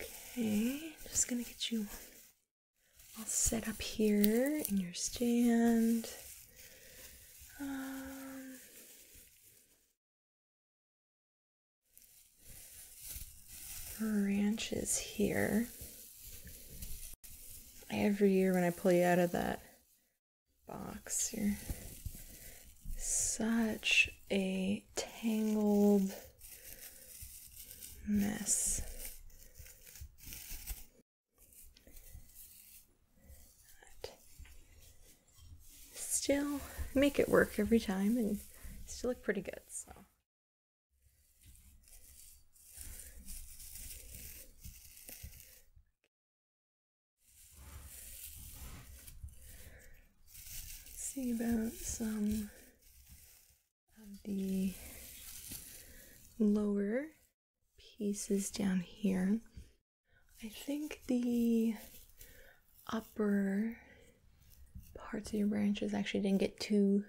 Okay, just gonna get you all set up here in your stand. Um, branches here. Every year when I pull you out of that box, you're such a tangled mess. still make it work every time and still look pretty good, so. Let's see about some of the lower pieces down here. I think the upper parts of your branches actually didn't get too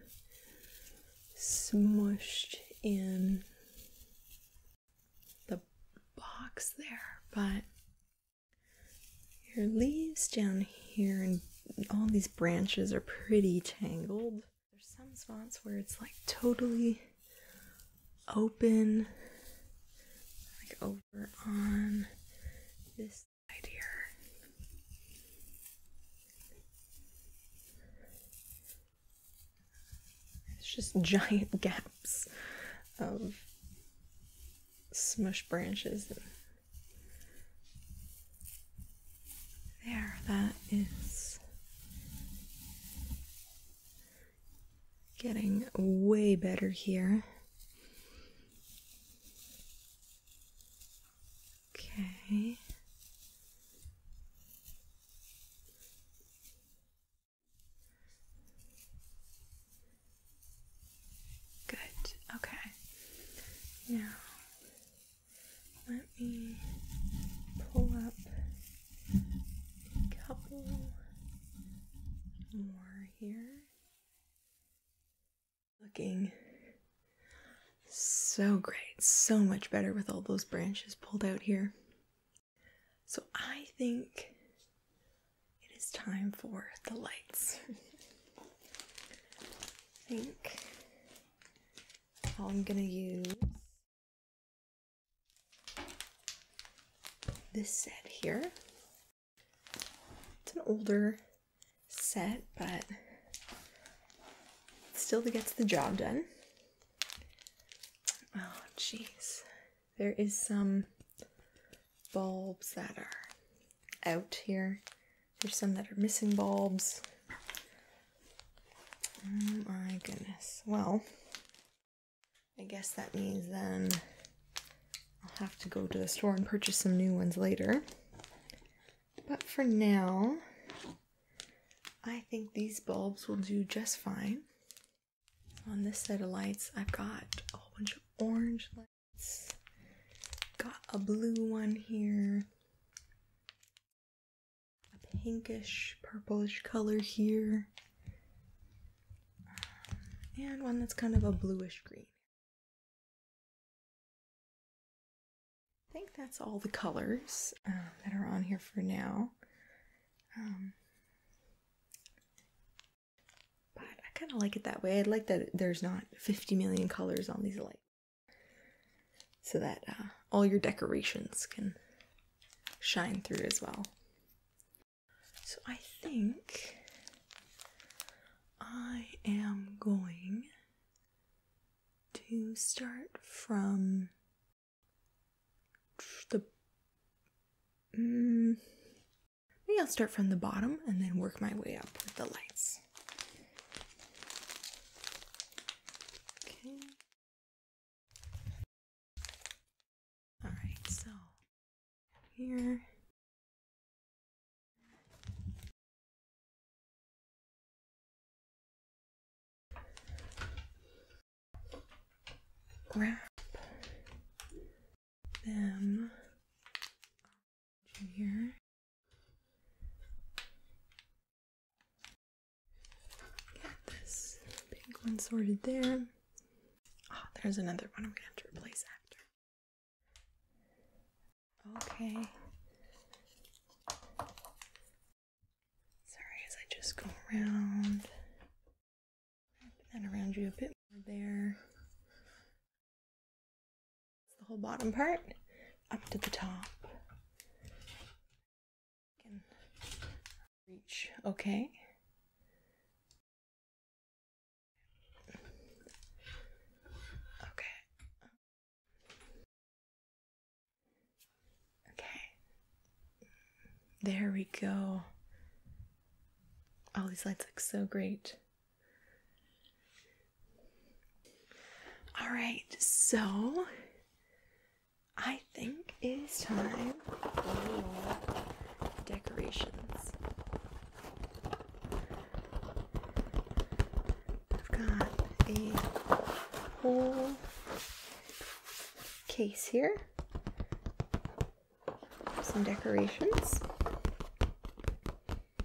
smushed in the box there, but your leaves down here and all these branches are pretty tangled. There's some spots where it's like totally open, like over on this side here. It's just giant gaps of smushed branches there, that is getting way better here. Okay. Good. Okay. Now, let me pull up a couple more here. Looking so great, so much better with all those branches pulled out here. So I think it is time for the lights. I think I'm gonna use this set here. It's an older set, but still gets the job done. Oh, jeez. There is some bulbs that are out here. There's some that are missing bulbs. Oh my goodness. Well, I guess that means then I'll have to go to the store and purchase some new ones later. But for now, I think these bulbs will do just fine. On this set of lights, I've got a whole bunch of orange lights. Got a blue one here, a pinkish, purplish color here, um, and one that's kind of a bluish green. I think that's all the colors um, that are on here for now. Um, but I kind of like it that way. I like that there's not 50 million colors on these lights. So that uh, all your decorations can shine through as well. So I think I am going to start from the. Mm, Maybe I'll start from the bottom and then work my way up with the lights. Okay. All right, so here. Grab them here. Get this pink one sorted there. Oh, there's another one I'm going have to replace after. Okay. Sorry, as I just go around, wrap that around you a bit more there the whole bottom part up to the top. Can reach okay. Okay. Okay. There we go. All these lights look so great. All right, so I think it is time for decorations. I've got a whole case here, some decorations. I'm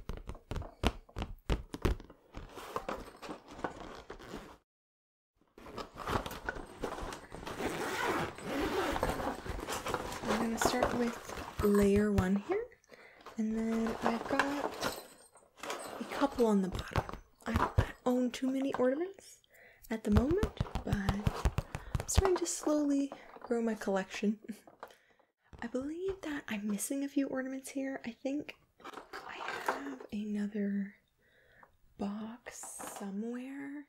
going to start with layer one here, and then I've got a couple on the bottom. I own too many ornaments at the moment, but I'm starting to slowly grow my collection. I believe that I'm missing a few ornaments here. I think I have another box somewhere,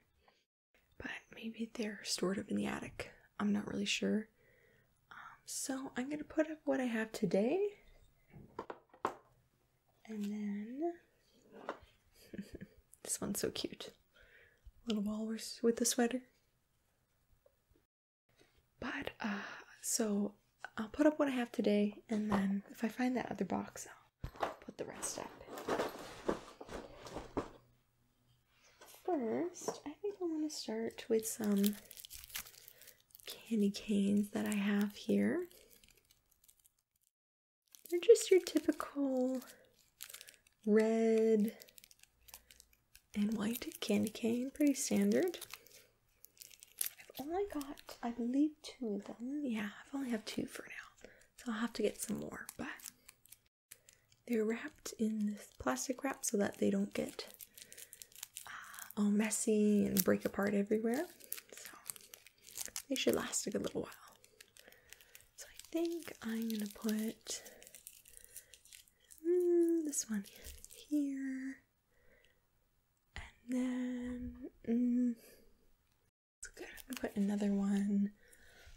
but maybe they're stored up in the attic. I'm not really sure. Um, so I'm going to put up what I have today. And then this one's so cute. Little walrus with a sweater. But uh, so I'll put up what I have today, and then if I find that other box, I'll put the rest up. First, I think I want to start with some candy canes that I have here. They're just your typical red and white candy cane, pretty standard. I've only got, I believe, two of them. Yeah, I've only have two for now, so I'll have to get some more. But they're wrapped in this plastic wrap so that they don't get uh, all messy and break apart everywhere. So they should last a good little while. So I think I'm gonna put Mm, this one here, and then mm, it's good. I'm put another one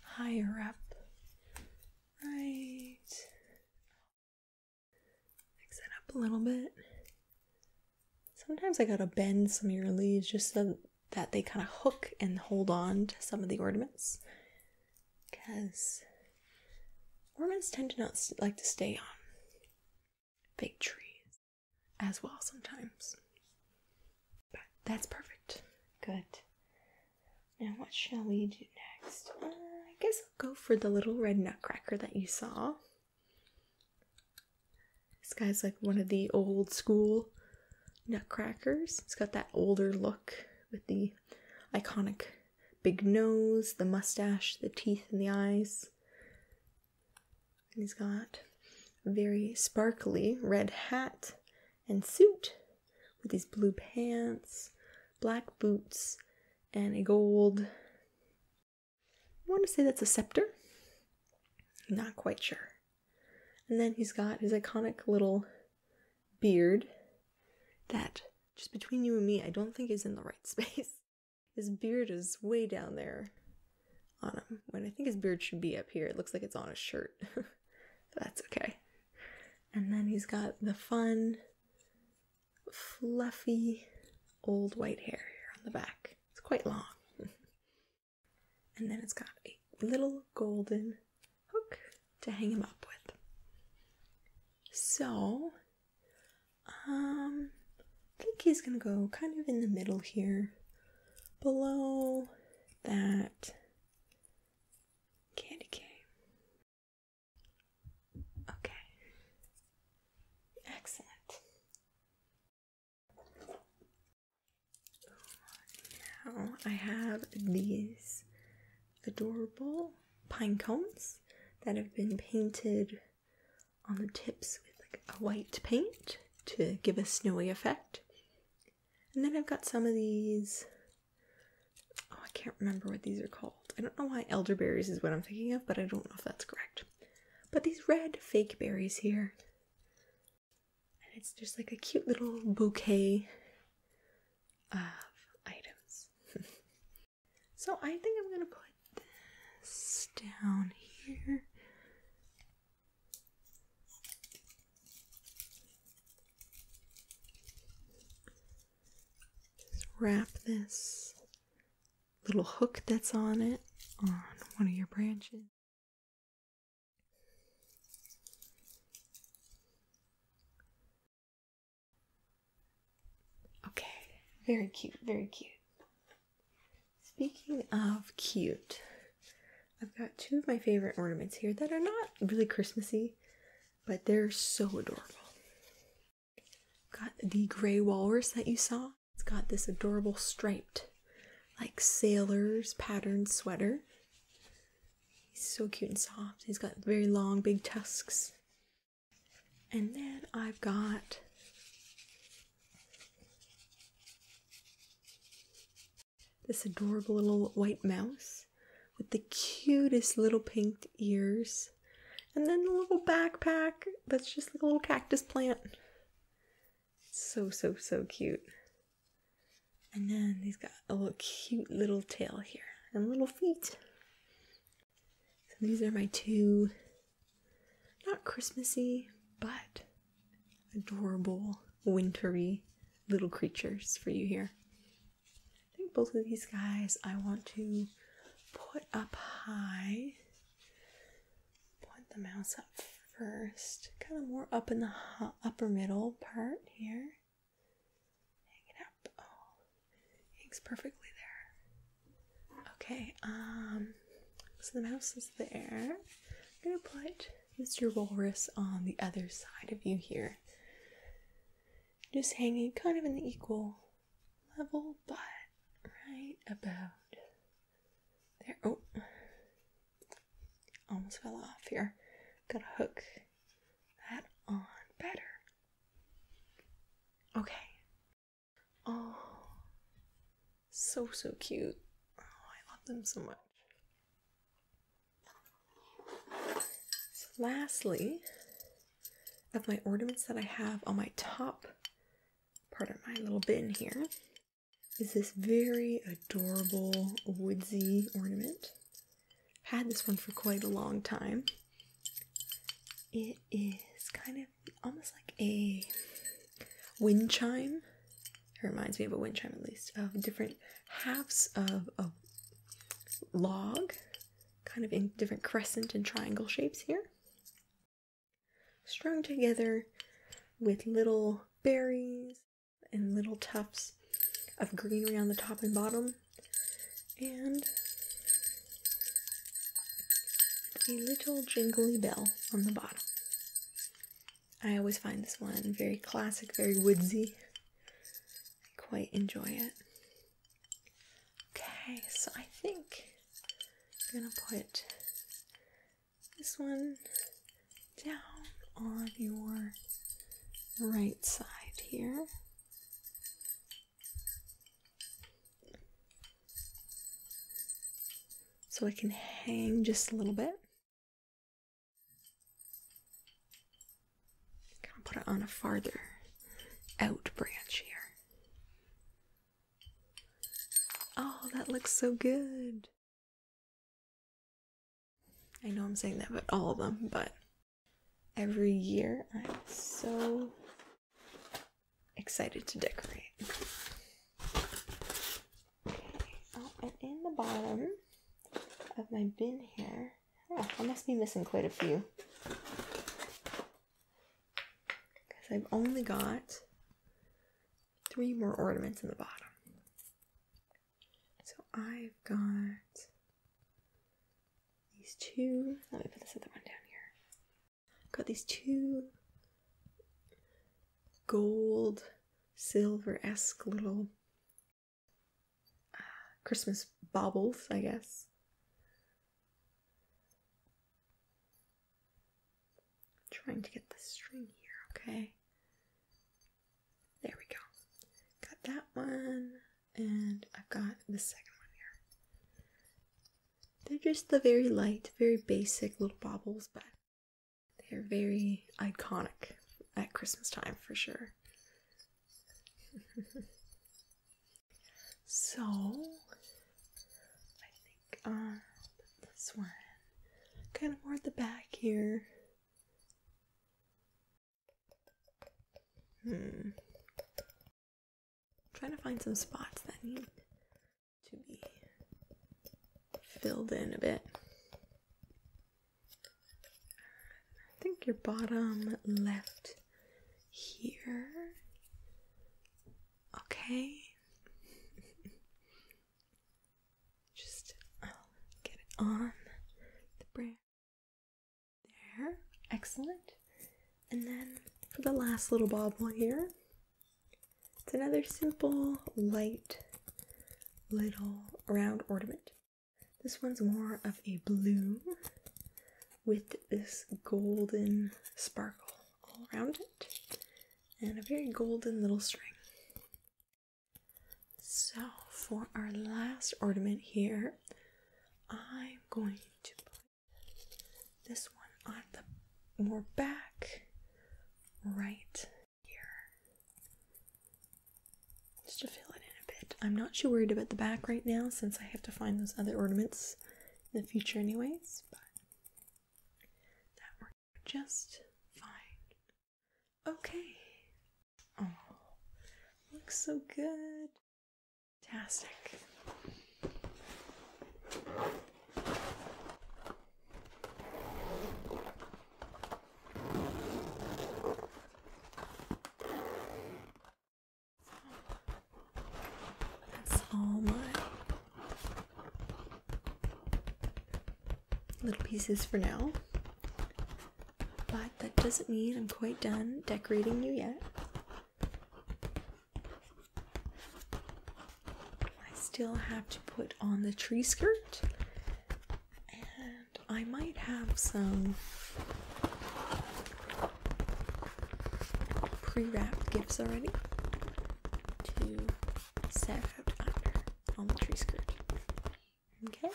higher up, right? Mix it up a little bit. Sometimes I gotta bend some of your leaves just so that they kind of hook and hold on to some of the ornaments because Mormons tend to not like to stay on big trees as well sometimes. But that's perfect. Good. Now, what shall we do next? Uh, I guess I'll go for the little red nutcracker that you saw. This guy's like one of the old school nutcrackers. It's got that older look with the iconic big nose, the mustache, the teeth, and the eyes. And he's got a very sparkly red hat and suit with these blue pants, black boots, and a gold. want to say that's a scepter. not quite sure. And then he's got his iconic little beard that, just between you and me, I don't think he's in the right space. His beard is way down there on him, when I think his beard should be up here. It looks like it's on his shirt. that's okay. And then he's got the fun, fluffy, old white hair here on the back. It's quite long. and then it's got a little golden hook to hang him up with. So um, I think he's gonna go kind of in the middle here, below that candy cane. Okay, excellent. Now I have these adorable pine cones that have been painted on the tips with like a white paint to give a snowy effect. And then I've got some of these. Oh, I can't remember what these are called. I don't know why elderberries is what I'm thinking of, but I don't know if that's correct. But these red fake berries here. And it's just like a cute little bouquet of items. So I think I'm going to put this down here. wrap this little hook that's on it on one of your branches. Okay, very cute, very cute. Speaking of cute, I've got two of my favorite ornaments here that are not really Christmassy, but they're so adorable. Got the gray walrus that you saw. It's got this adorable striped, like sailor's pattern sweater. He's so cute and soft. He's got very long, big tusks. And then I've got this adorable little white mouse with the cutest little pink ears. And then the little backpack that's just a little cactus plant. so, so, so cute. And then he's got a little cute little tail here and little feet. So these are my two not Christmassy but adorable wintry little creatures for you here. I think both of these guys I want to put up high. Put the mouse up first, kind of more up in the upper middle part here. Hang it up. Oh, hangs perfectly there. Okay, um, so the mouse is there. I'm gonna put Mr. Walrus on the other side of you here. Just hanging kind of in the equal level, but right about there. Oh, almost fell off here. Gotta hook that on better. Okay. Oh, so, so cute. Oh, I love them so much. So, lastly, of my ornaments that I have on my top part of my little bin here, is this very adorable woodsy ornament. Had this one for quite a long time. It is kind of almost like a wind chime. It reminds me of a wind chime, at least, of different halves of a log, kind of in different crescent and triangle shapes here, strung together with little berries and little tufts of greenery on the top and bottom and a little jingly bell on the bottom. I always find this one very classic, very woodsy. I quite enjoy it. Okay, so I think I'm gonna put this one down on your right side here so I can hang just a little bit. Kind of put it on a farther out branch here. Oh, that looks so good. I know I'm saying that about all of them, but every year. I'm so excited to decorate. Okay, oh, and in the bottom of my bin here, oh, I must be missing quite a few. Because I've only got three more ornaments in the bottom. So I've got these two. Let me put this other one down here. Got these two gold, silver esque little uh, Christmas baubles, I guess. trying to get the string here, okay? There we go. Got that one and I've got the second one here. They're just the very light, very basic little baubles, but they're very iconic at Christmas time for sure. so, I think uh, this one kind of more at the back here. Hmm. I'm trying to find some spots that need to be filled in a bit. I think your bottom left here. Okay. Just get it on the branch. There, excellent. And then for the last little bobble here, it's another simple, light, little round ornament. This one's more of a blue with this golden sparkle all around it and a very golden little string. So for our last ornament here, I'm going to this one on the more back, right here. Just to fill it in a bit. I'm not too worried about the back right now since I have to find those other ornaments in the future, anyways, but that worked just fine. Okay. Oh, looks so good. Fantastic. That's all my little pieces for now. But that doesn't mean I'm quite done decorating you yet. I still have to put on the tree skirt, and I might have some pre wrapped gifts already to set out under on the tree skirt. Okay.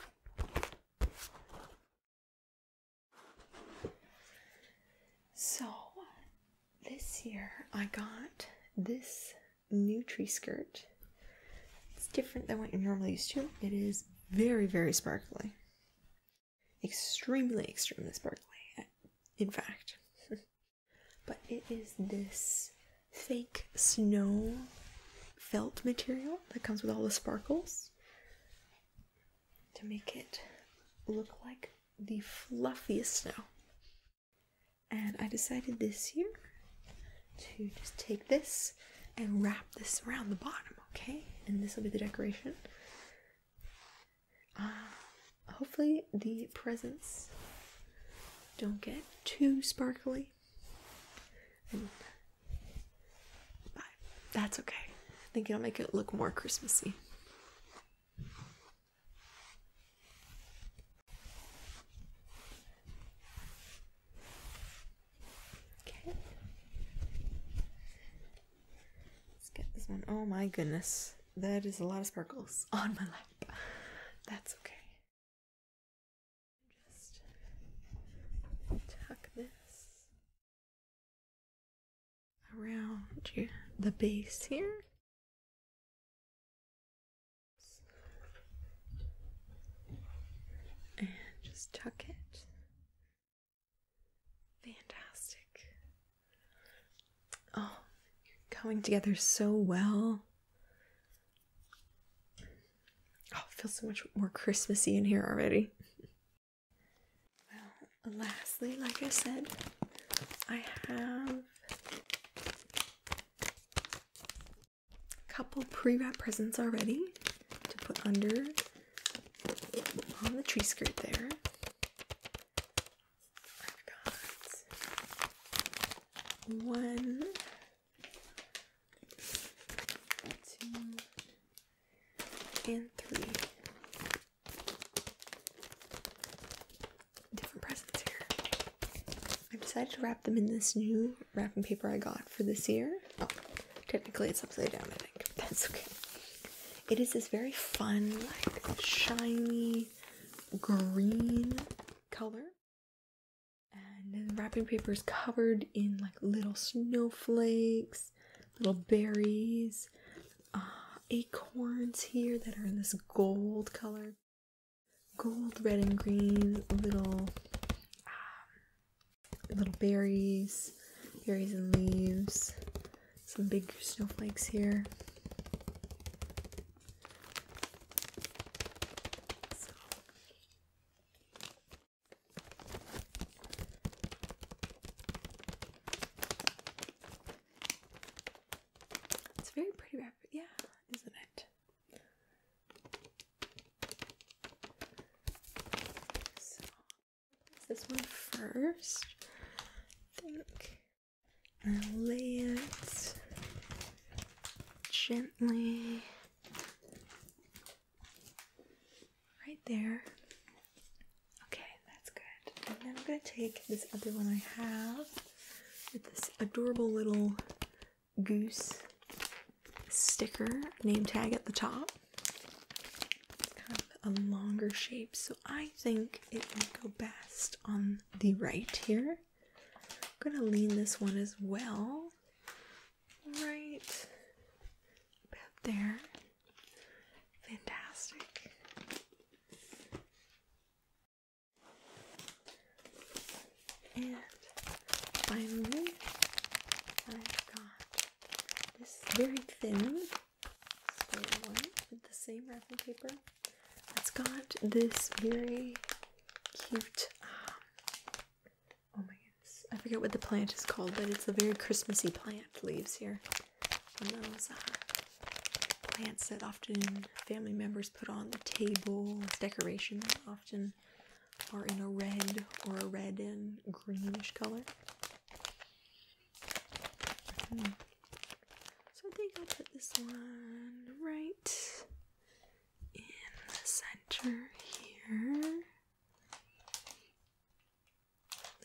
So this year I got this new tree skirt. It's different than what you're normally used to. It is very, very sparkly. Extremely, extremely sparkly, in fact. but it is this fake snow felt material that comes with all the sparkles to make it look like the fluffiest snow. And I decided this year to just take this and wrap this around the bottom, okay? And this will be the decoration. Uh, hopefully, the presents don't get too sparkly. that's okay. I think it'll make it look more Christmassy. Okay. Let's get this one. Oh my goodness. That is a lot of sparkles on my lap. That's okay. Just tuck this around the base here. And just tuck it. Fantastic. Oh, coming together so well. Oh, it feels so much more Christmassy in here already lastly, like I said, I have a couple pre wrapped presents already to put under on the tree skirt there. I've got one, two, and three different presents here. I decided to wrap them in this new wrapping paper I got for this year. Oh, technically it's upside down, I think. That's okay. It is this very fun, like shiny green color. And then wrapping paper is covered in like little snowflakes little berries, uh, acorns here that are in this gold color, gold, red, and green. Little, um, little berries, berries and leaves. Some big snowflakes here. It's very pretty wrapper, yeah, isn't it? So, this one first, think. And lay it gently right there. Okay, that's good. And then I'm going to take this other one I have with this adorable little goose sticker name tag at the top. It's kind of a longer shape, so I think it will go best on the right here. I'm going to lean this one as well. Right about there. Fantastic. And finally, I've got this very thin one with the same wrapping paper. It's got this very cute, um, oh my goodness, I forget what the plant is called, but it's a very Christmassy plant leaves here those uh, plants that often family members put on the table as decoration often are in a red or a red and greenish color. Hmm. So I think I'll put this one right in the center here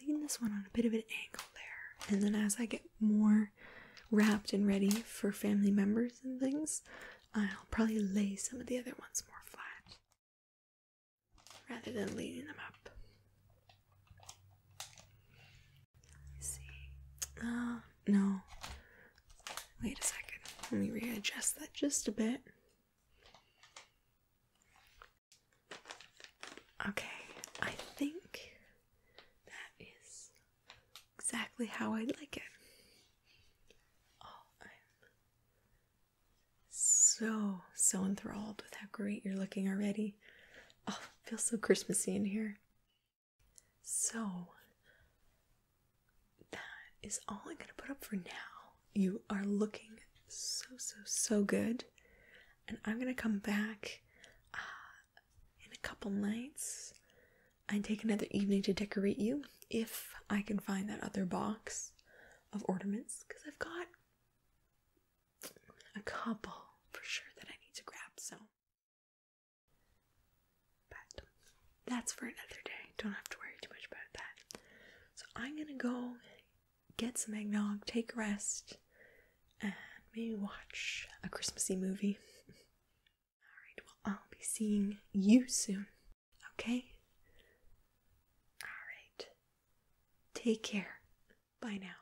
lean this one on a bit of an angle there. And then as I get more wrapped and ready for family members and things, I'll probably lay some of the other ones more flat rather than leaning them up. see. Oh, no. Wait a second. Let me readjust that just a bit. Okay, I think that is exactly how I'd like it. Oh, I'm so, so enthralled with how great you're looking already. Oh, feels so Christmassy in here. So, that is all I'm going to put up for now. You are looking so, so, so good. And I'm going to come back uh, in a couple nights, I'd take another evening to decorate you if I can find that other box of ornaments because I've got a couple for sure that I need to grab. So, but that's for another day. Don't have to worry too much about that. So, I'm gonna go get some eggnog, take a rest, and maybe watch a Christmassy movie. Alright, well, I'll be seeing you soon, okay? Alright, take care. Bye now.